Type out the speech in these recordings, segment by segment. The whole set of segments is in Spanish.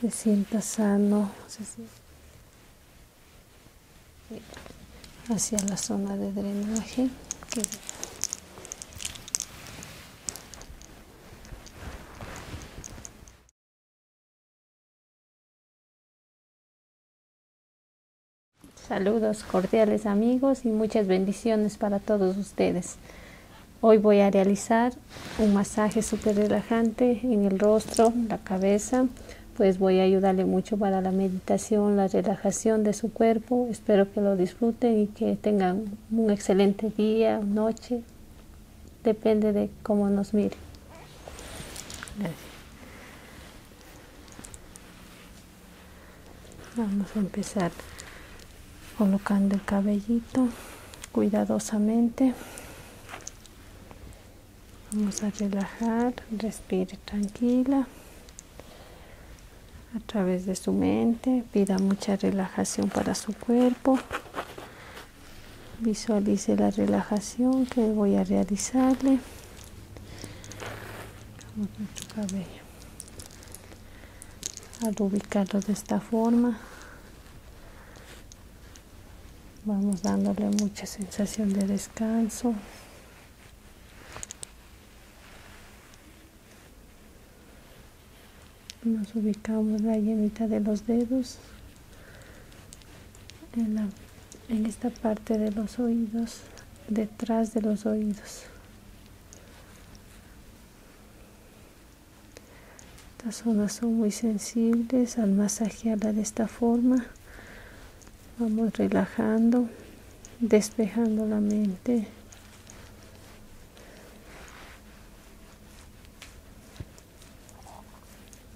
se sienta sano hacia la zona de drenaje Saludos cordiales amigos y muchas bendiciones para todos ustedes. Hoy voy a realizar un masaje súper relajante en el rostro, la cabeza, pues voy a ayudarle mucho para la meditación, la relajación de su cuerpo. Espero que lo disfruten y que tengan un excelente día, noche, depende de cómo nos mire. Vamos a empezar colocando el cabellito cuidadosamente vamos a relajar respire tranquila a través de su mente pida mucha relajación para su cuerpo visualice la relajación que voy a realizarle cabello al ubicarlo de esta forma vamos dándole mucha sensación de descanso nos ubicamos la yemita de los dedos en esta parte de los oídos detrás de los oídos estas zonas son muy sensibles al masajearla de esta forma. Vamos relajando, despejando la mente.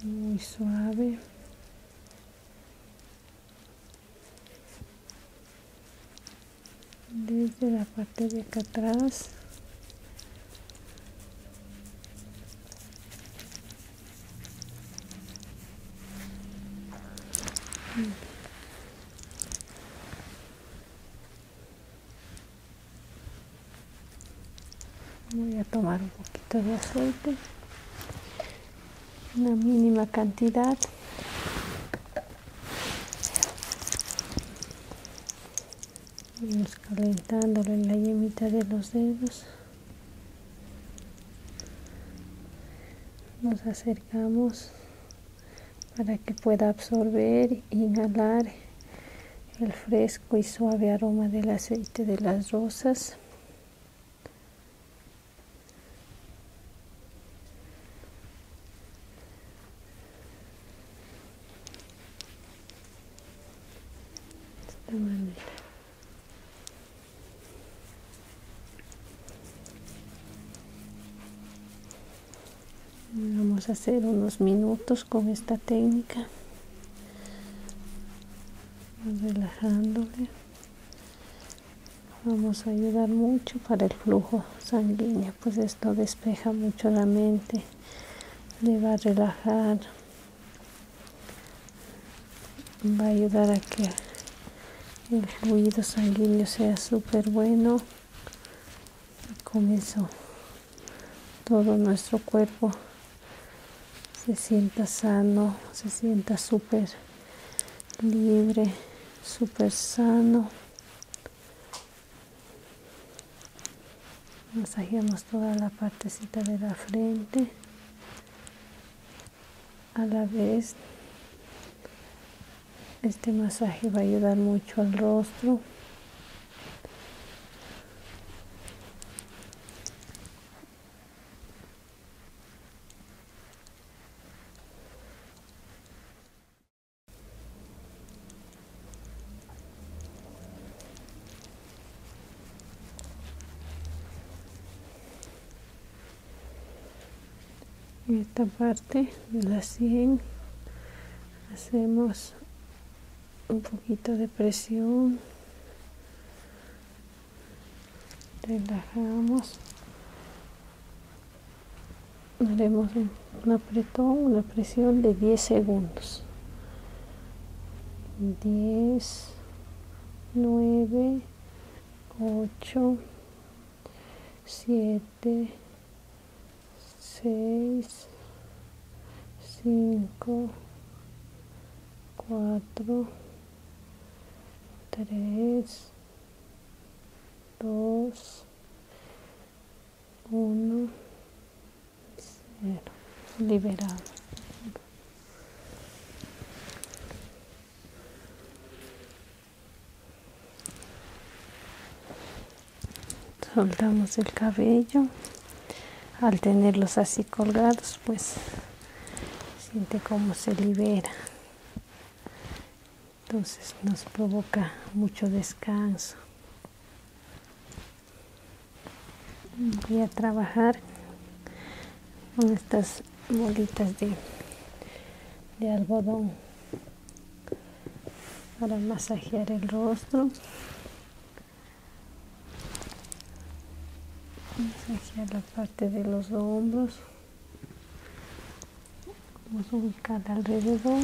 Muy suave. Desde la parte de acá atrás voy a tomar un poquito de aceite una mínima cantidad vamos en la yemita de los dedos nos acercamos para que pueda absorber inhalar el fresco y suave aroma del aceite de las rosas vamos a hacer unos minutos con esta técnica relajándole vamos a ayudar mucho para el flujo sanguíneo pues esto despeja mucho la mente le va a relajar va a ayudar a que el fluido sanguíneo sea súper bueno y con todo nuestro cuerpo se sienta sano se sienta súper libre súper sano masajeamos toda la partecita de la frente a la vez este masaje va a ayudar mucho al rostro en esta parte de la sien hacemos un poquito de presión relajamos haremos un, apretón, una presión de 10 segundos. 10, 9, 8, 7, 6, 5, 4, 3, 2, 1, cero liberado. Soltamos el cabello. Al tenerlos así colgados, pues siente como se libera. Entonces nos provoca mucho descanso voy a trabajar con estas bolitas de, de algodón para masajear el rostro masajear la parte de los hombros vamos a ubicar alrededor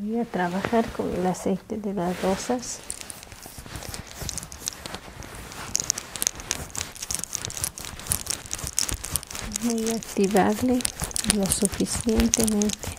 voy a trabajar con el aceite de las rosas voy a activarle lo suficientemente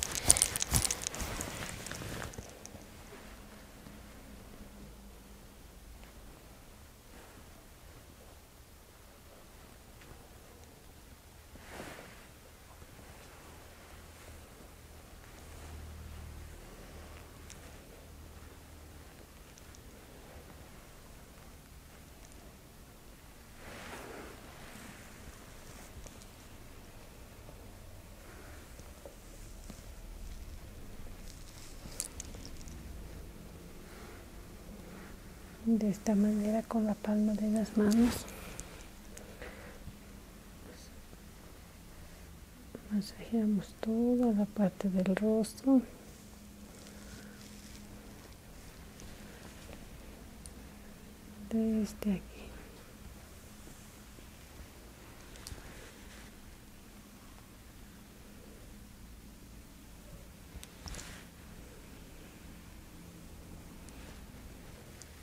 de esta manera con la palma de las manos masajeamos toda la parte del rostro desde aquí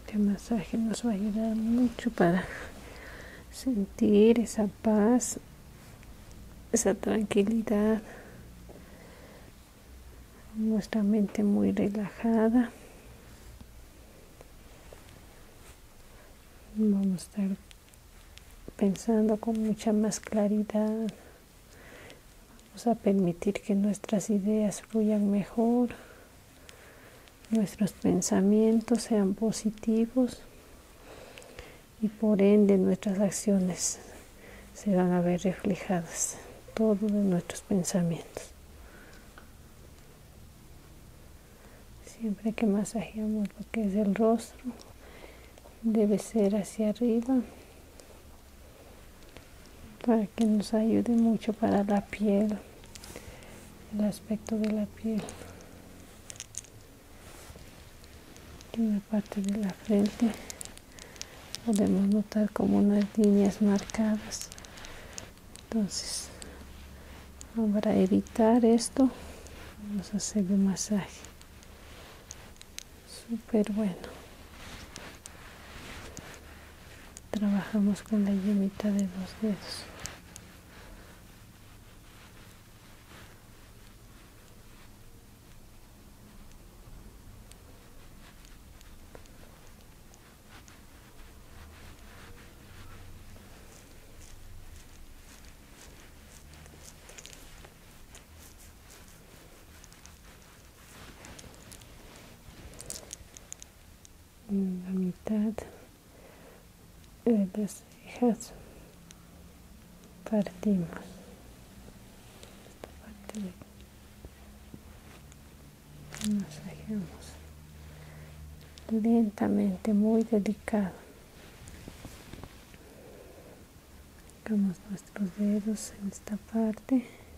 Este masaje nos va a ayudar mucho para sentir esa paz, esa tranquilidad, nuestra mente muy relajada. Vamos a estar pensando con mucha más claridad. Vamos a permitir que nuestras ideas fluyan mejor nuestros pensamientos sean positivos y por ende nuestras acciones se van a ver reflejadas, todos nuestros pensamientos. Siempre que masajeamos lo que es el rostro, debe ser hacia arriba para que nos ayude mucho para la piel el aspecto de la piel en la parte de la frente podemos notar como unas líneas marcadas entonces para evitar esto vamos a hacer un masaje súper bueno trabajamos con la yemita de los dedos en la mitad de las cejas partimos esta parte de, masajemos lentamente muy delicado nuestros dedos en esta parte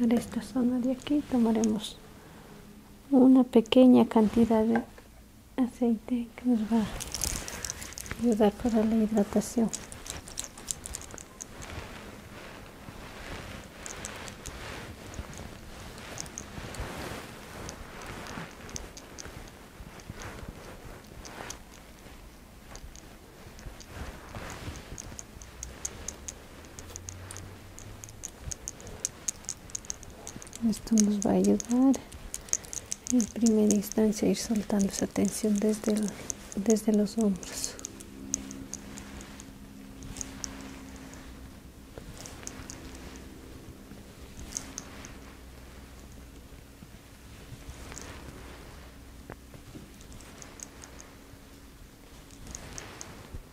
Para esta zona de aquí tomaremos una pequeña cantidad de aceitei que nos vai ajudar para a hidratação. esto nos va a ayudar en primera instancia a ir soltando esa tensión desde, desde los hombros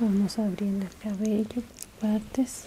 vamos abriendo el cabello partes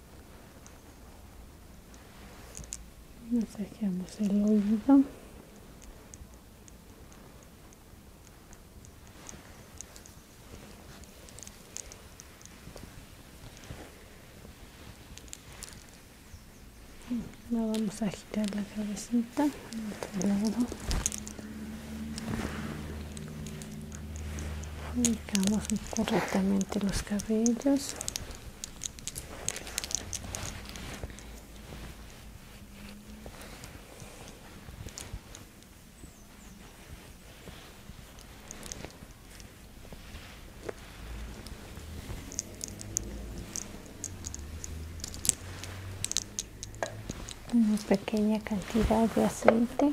saqueamos el oído Ahora vamos a agitar la cabecita otro lado Ubicamos correctamente los cabellos. una pequeña cantidad de aceite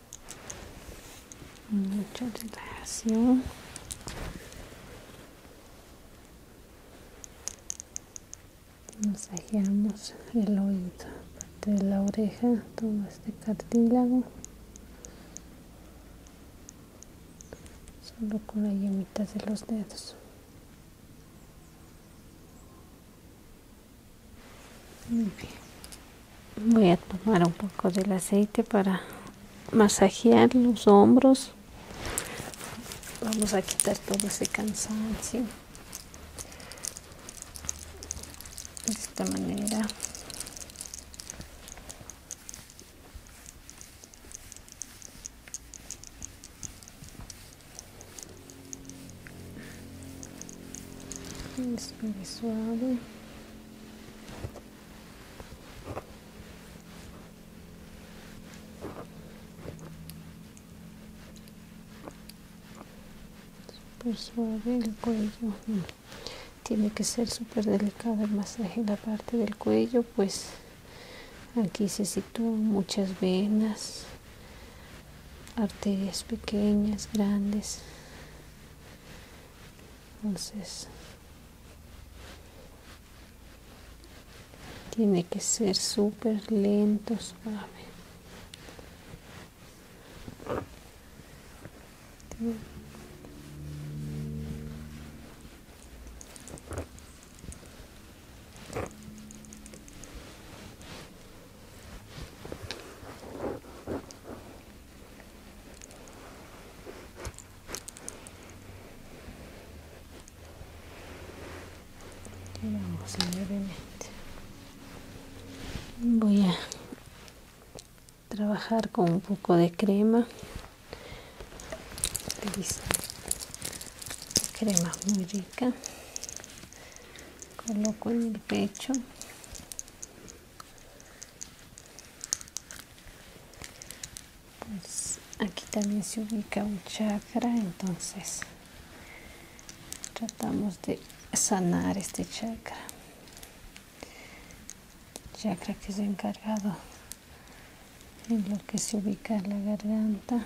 mucha relajación masajeamos el oído parte de la oreja todo este cartílago solo con las yemitas de los dedos Voy a tomar un poco del aceite para masajear los hombros. Vamos a quitar todo ese cansancio. De esta manera es suave. suave el cuello. Tiene que ser súper delicado el masaje en la parte del cuello, pues aquí se sitúan muchas venas arterias pequeñas, grandes. Entonces, tiene que ser súper lento, suave. Vamos Voy a trabajar con un poco de crema. crema muy rica coloco en el pecho pues, aquí también se ubica un chakra entonces tratamos de sanar este chakra chakra que es encargado en lo que se ubica la garganta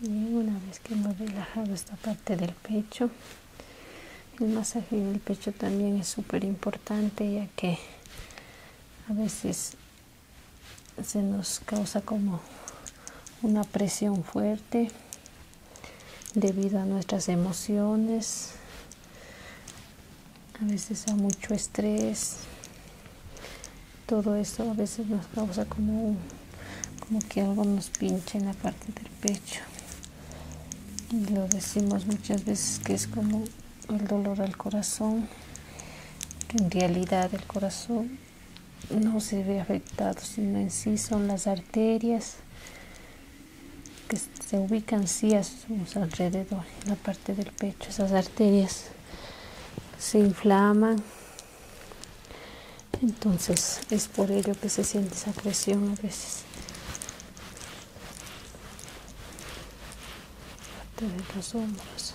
Bien, una vez que hemos relajado esta parte del pecho, el masaje del pecho también es súper importante ya que a veces se nos causa como una presión fuerte debido a nuestras emociones, a veces a mucho estrés, todo eso a veces nos causa como, como que algo nos pincha en la parte del pecho. Y lo decimos muchas veces que es como el dolor al corazón, en realidad el corazón no se ve afectado, sino en sí son las arterias que se ubican sí a su alrededor, en la parte del pecho. Esas arterias se inflaman. Entonces es por ello que se siente esa presión a veces. de los hombros.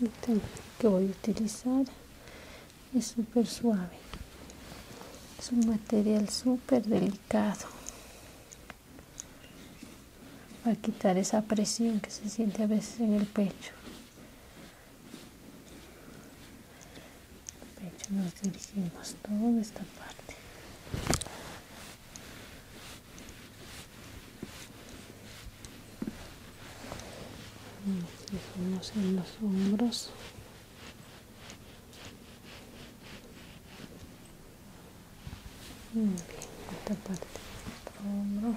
El que voy a utilizar es súper suave es un material súper delicado para quitar esa presión que se siente a veces en el pecho pecho nos dirigimos toda esta parte nos en los hombros muy bien esta parte de hombro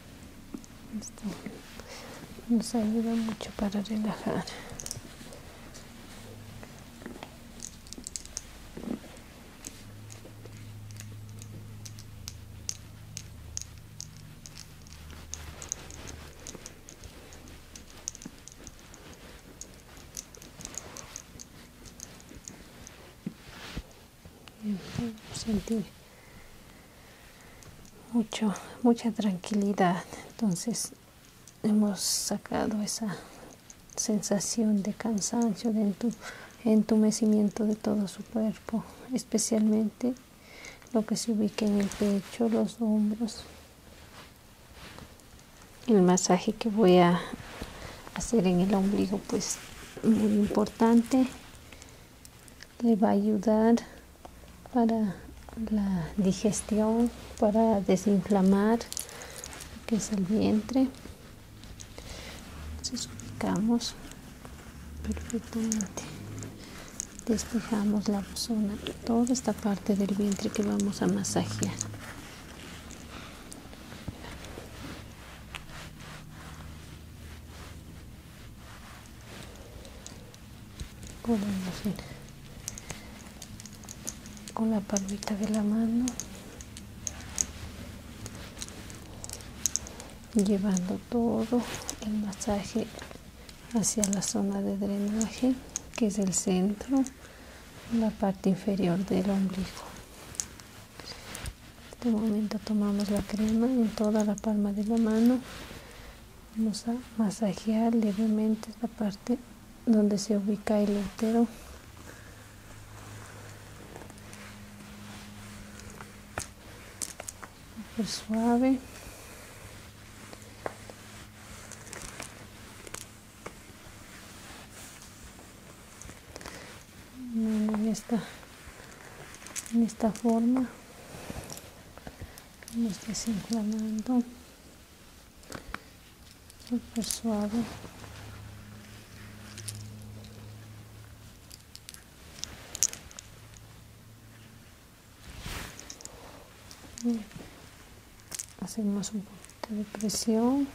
Esto nos ayuda mucho para relajar sentir mucho mucha tranquilidad entonces hemos sacado esa sensación de cansancio de entumecimiento de todo su cuerpo especialmente lo que se ubica en el pecho los hombros el masaje que voy a hacer en el ombligo pues muy importante le va a ayudar para la digestión, para desinflamar lo que es el vientre. Entonces perfectamente. Despejamos la zona, toda esta parte del vientre que vamos a masajear con la, palmita de la mano llevando todo el masaje hacia la zona de drenaje que es el centro la parte inferior del ombligo en este momento tomamos la crema en toda la palma de la mano vamos a masajear levemente la parte donde se ubica el útero suave en esta, en esta forma nos esté inflamando suave hacemos un poquito de presión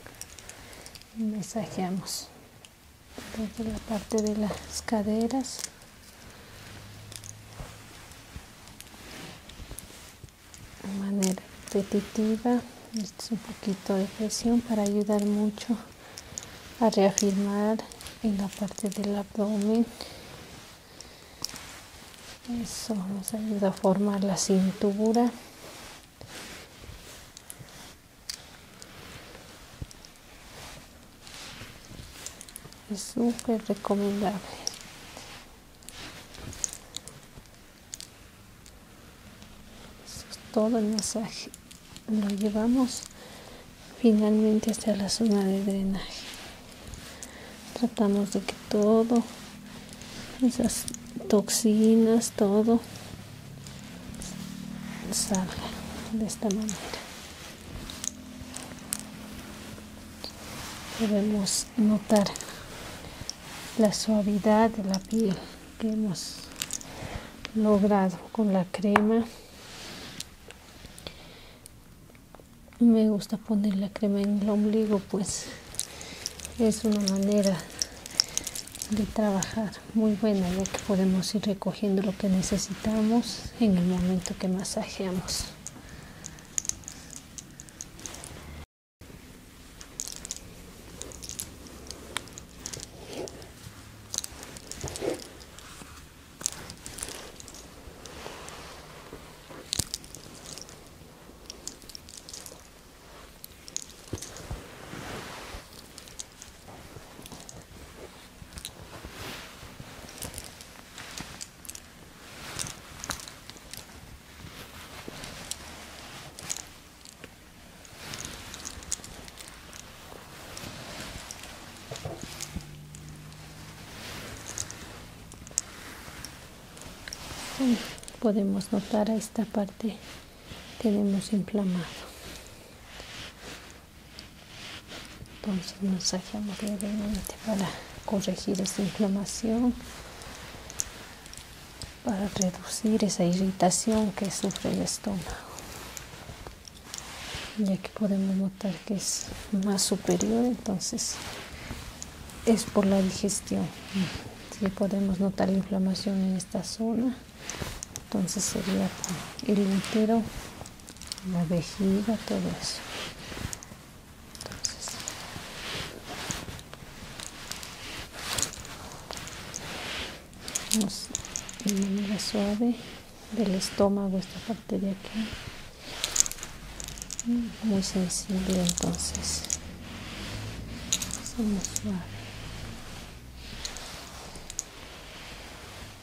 y mensajeamos la parte de las caderas de manera repetitiva es un poquito de presión para ayudar mucho a reafirmar en la parte del abdomen eso nos ayuda a formar la cintura es súper recomendable todo el masaje lo llevamos finalmente hasta la zona de drenaje tratamos de que todo esas toxinas todo salga de esta manera debemos notar la suavidad de la piel que hemos logrado con la crema me gusta poner la crema en el ombligo pues es una manera de trabajar muy buena, ya que podemos ir recogiendo lo que necesitamos en el momento que masajeamos podemos notar a esta parte tenemos inflamado entonces pues, mensajeamos levemente para corregir esa inflamación para reducir esa irritación que sufre el estómago ya que podemos notar que es más superior entonces es por la digestión si podemos notar la inflamación en esta zona entonces sería el entero la vejiga todo eso entonces, vamos manera suave del estómago esta parte de aquí muy sensible entonces suave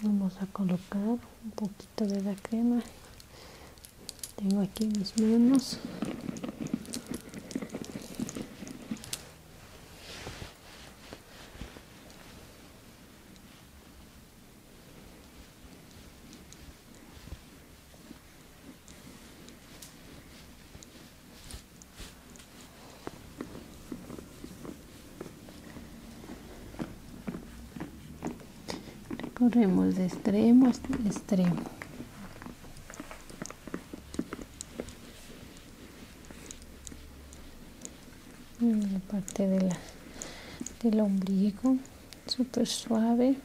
vamos a colocar un poquito de la crema tengo aquí mis manos recorremos de extremo a extremo la parte de del ombligo super suave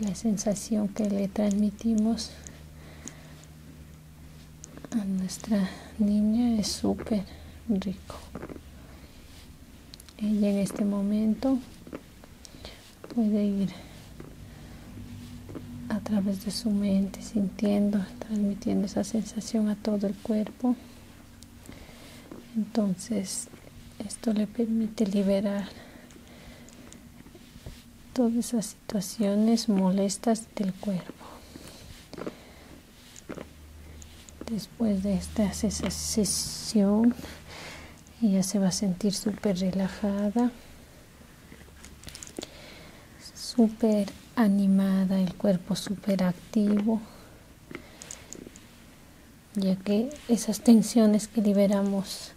la sensación que le transmitimos a nuestra niña es súper rico ella en este momento puede ir a través de su mente, sintiendo, transmitiendo esa sensación a todo el cuerpo. Entonces, esto le permite liberar todas esas situaciones molestas del cuerpo. Después de esta sesión, ella se va a sentir súper relajada súper animada, el cuerpo súper activo, ya que esas tensiones que liberamos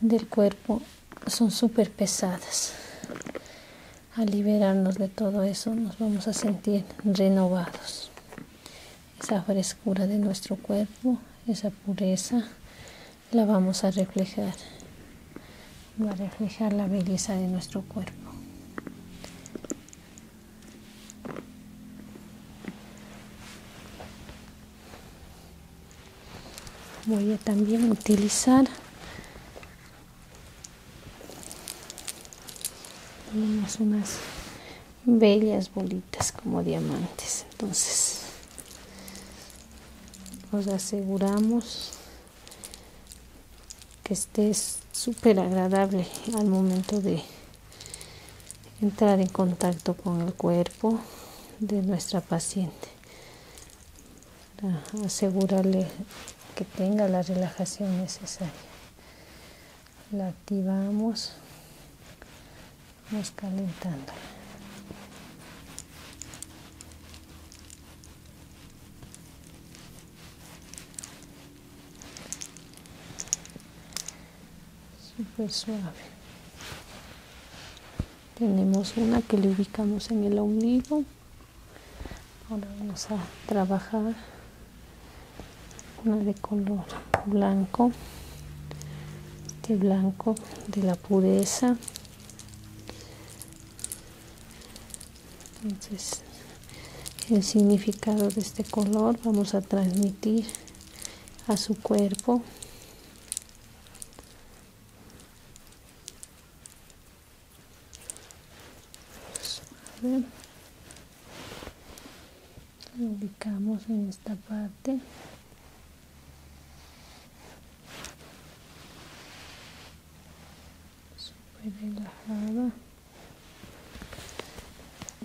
del cuerpo son súper pesadas. Al liberarnos de todo eso nos vamos a sentir renovados. Esa frescura de nuestro cuerpo, esa pureza la vamos a reflejar, va a reflejar la belleza de nuestro cuerpo. Voy a también utilizar unas, unas bellas bolitas como diamantes. Entonces, nos aseguramos que esté súper agradable al momento de entrar en contacto con el cuerpo de nuestra paciente para ah, asegurarle que tenga la relajación necesaria la activamos Nos calentando súper suave tenemos una que le ubicamos en el ombligo ahora vamos a trabajar una de color blanco de este blanco de la pureza entonces, el significado de este color vamos a transmitir a su cuerpo. ubicamos en esta parte Súper relajada.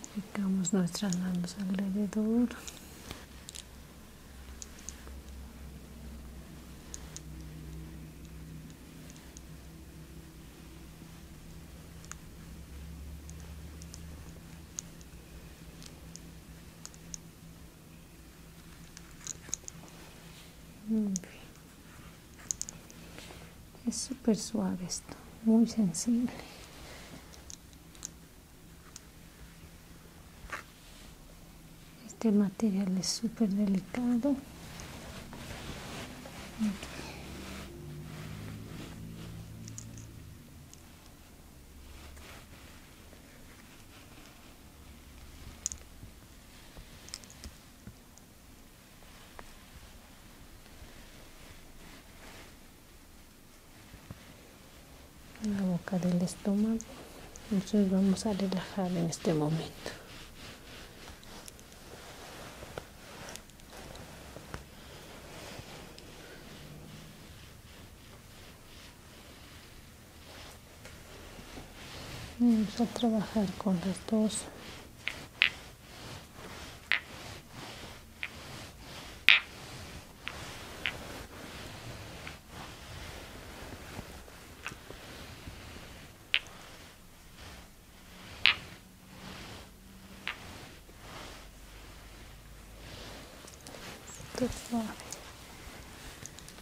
Aplicamos nuestras manos alrededor. Mm. Es súper suave esto, muy sensible. Este material es súper delicado la boca del estómago entonces vamos a relajar en este momento vamos a trabajar con las dos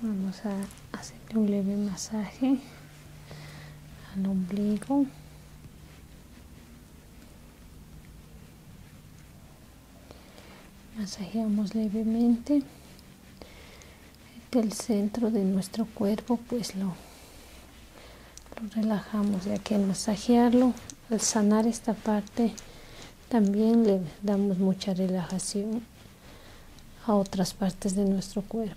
Vamos a hacerle un leve masaje al ombligo. Masajeamos levemente el centro de nuestro cuerpo, pues lo, relajamos, ya que al masajearlo al sanar esta parte también le damos mucha relajación a otras partes de nuestro cuerpo.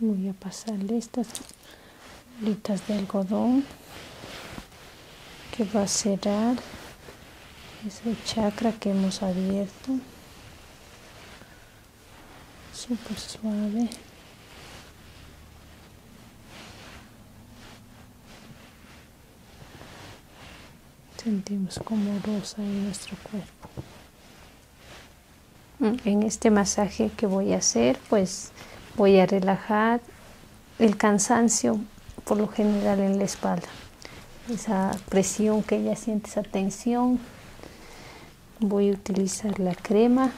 Voy a pasarle estas bolitas de algodón que va a cerrar ese chakra que hemos abierto súper suave sentimos como rosa en nuestro cuerpo mm, en este masaje que voy a hacer pues voy a relajar el cansancio por lo general en la espalda esa presión que ella siente esa tensión voy a utilizar la crema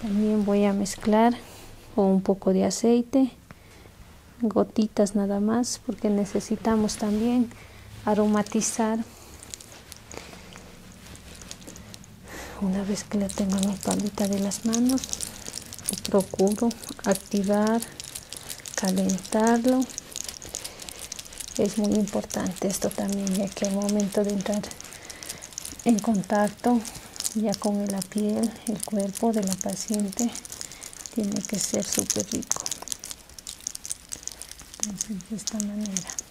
también voy a mezclar con un poco de aceite gotitas nada más porque necesitamos también aromatizar una vez que la tengo en la paleta de las manos procuro activar calentarlo es muy importante esto también ya que al momento de entrar en contacto ya con la piel el cuerpo de la paciente tiene que ser súper rico de esta manera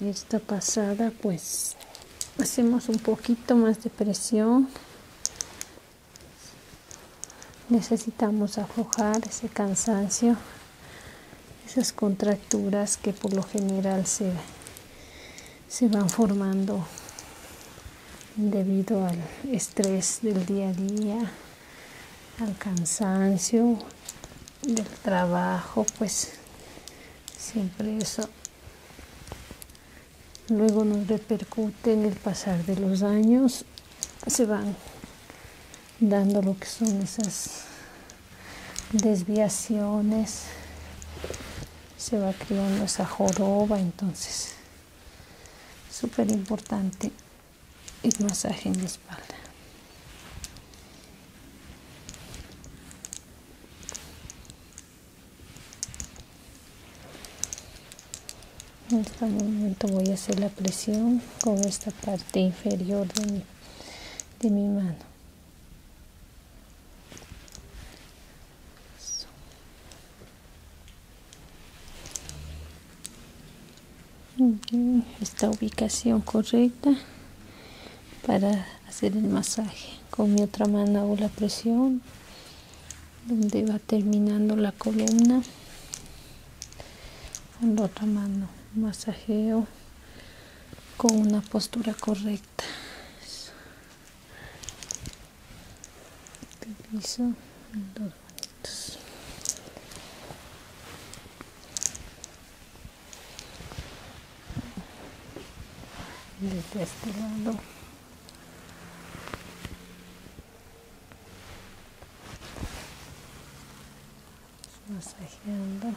esta pasada pues hacemos un poquito más de presión necesitamos aflojar ese cansancio esas contracturas que por lo general se, se van formando debido al estrés del día a día, al cansancio del trabajo, pues siempre eso luego nos repercute en el pasar de los años, se van dando lo que son esas desviaciones se va creando esa joroba, entonces súper importante el masaje en la espalda. En este momento voy a hacer la presión con esta parte inferior de mi, de mi mano. Esta ubicación correcta para hacer el masaje. Con mi otra mano hago la presión donde va terminando la columna. Con la otra mano masajeo con una postura correcta manitas te piso dos manitos desde este lado masajeando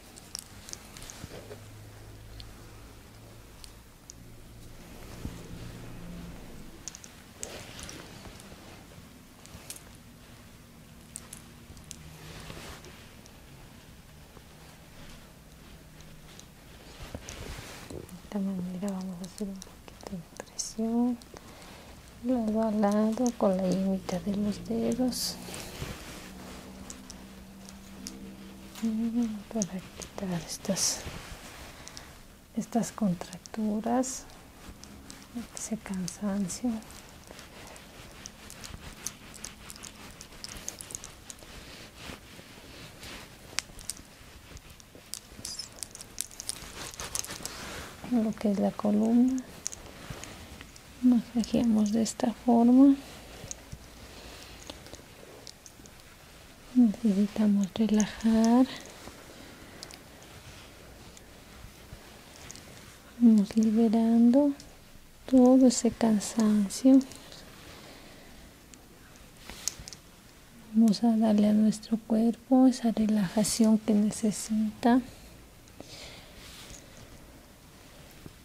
De esta manera vamos a hacer un poquito de presión lado al lado con la yema de los dedos para quitar estas estas contracturas ese cansancio lo que es la columna masajeamos de esta forma necesitamos relajar vamos liberando todo ese cansancio vamos a darle a nuestro cuerpo esa relajación que necesita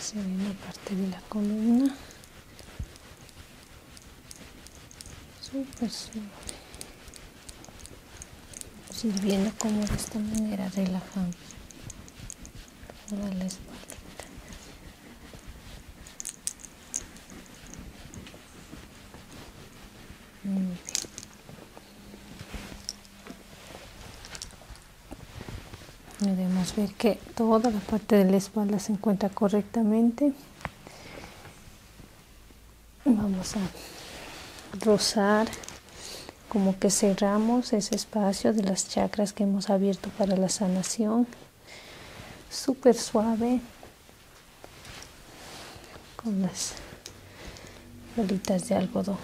Se viene parte de la columna super. suave sirviendo como de esta manera relajamos toda la espalda muy bien Debemos ver que toda la parte de la espalda se encuentra correctamente. Vamos a rozar como que cerramos ese espacio de las chakras que hemos abierto para la sanación. Súper suave con las bolitas de algodón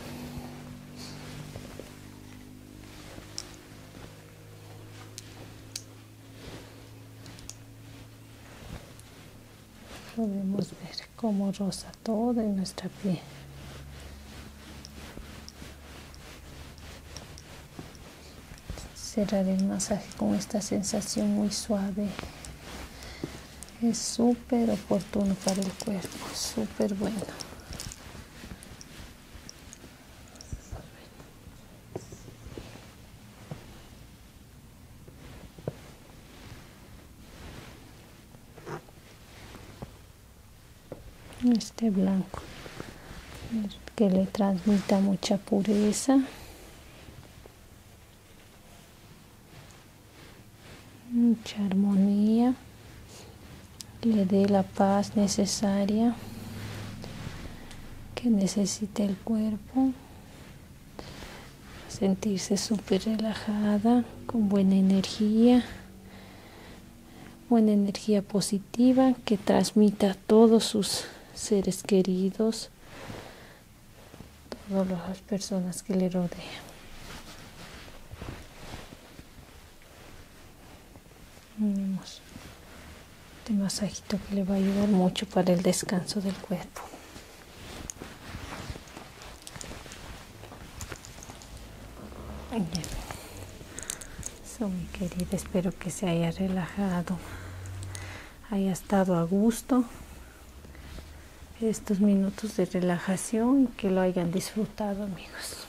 podemos ver cómo rosa todo en nuestra piel cerrar el masaje con esta sensación muy suave es súper oportuno para el cuerpo súper bueno este blanco que le transmita mucha pureza mucha armonía le dé la paz necesaria que necesite el cuerpo, sentirse súper relajada, con buena energía, buena energía positiva que transmita a todos sus seres queridos, todas las personas que le rodean mínimos de este masajito que le va a ayudar mucho para el descanso del cuerpo. Eso mi querida, espero que se haya relajado, haya estado a gusto estos minutos de relajación y que lo hayan disfrutado amigos.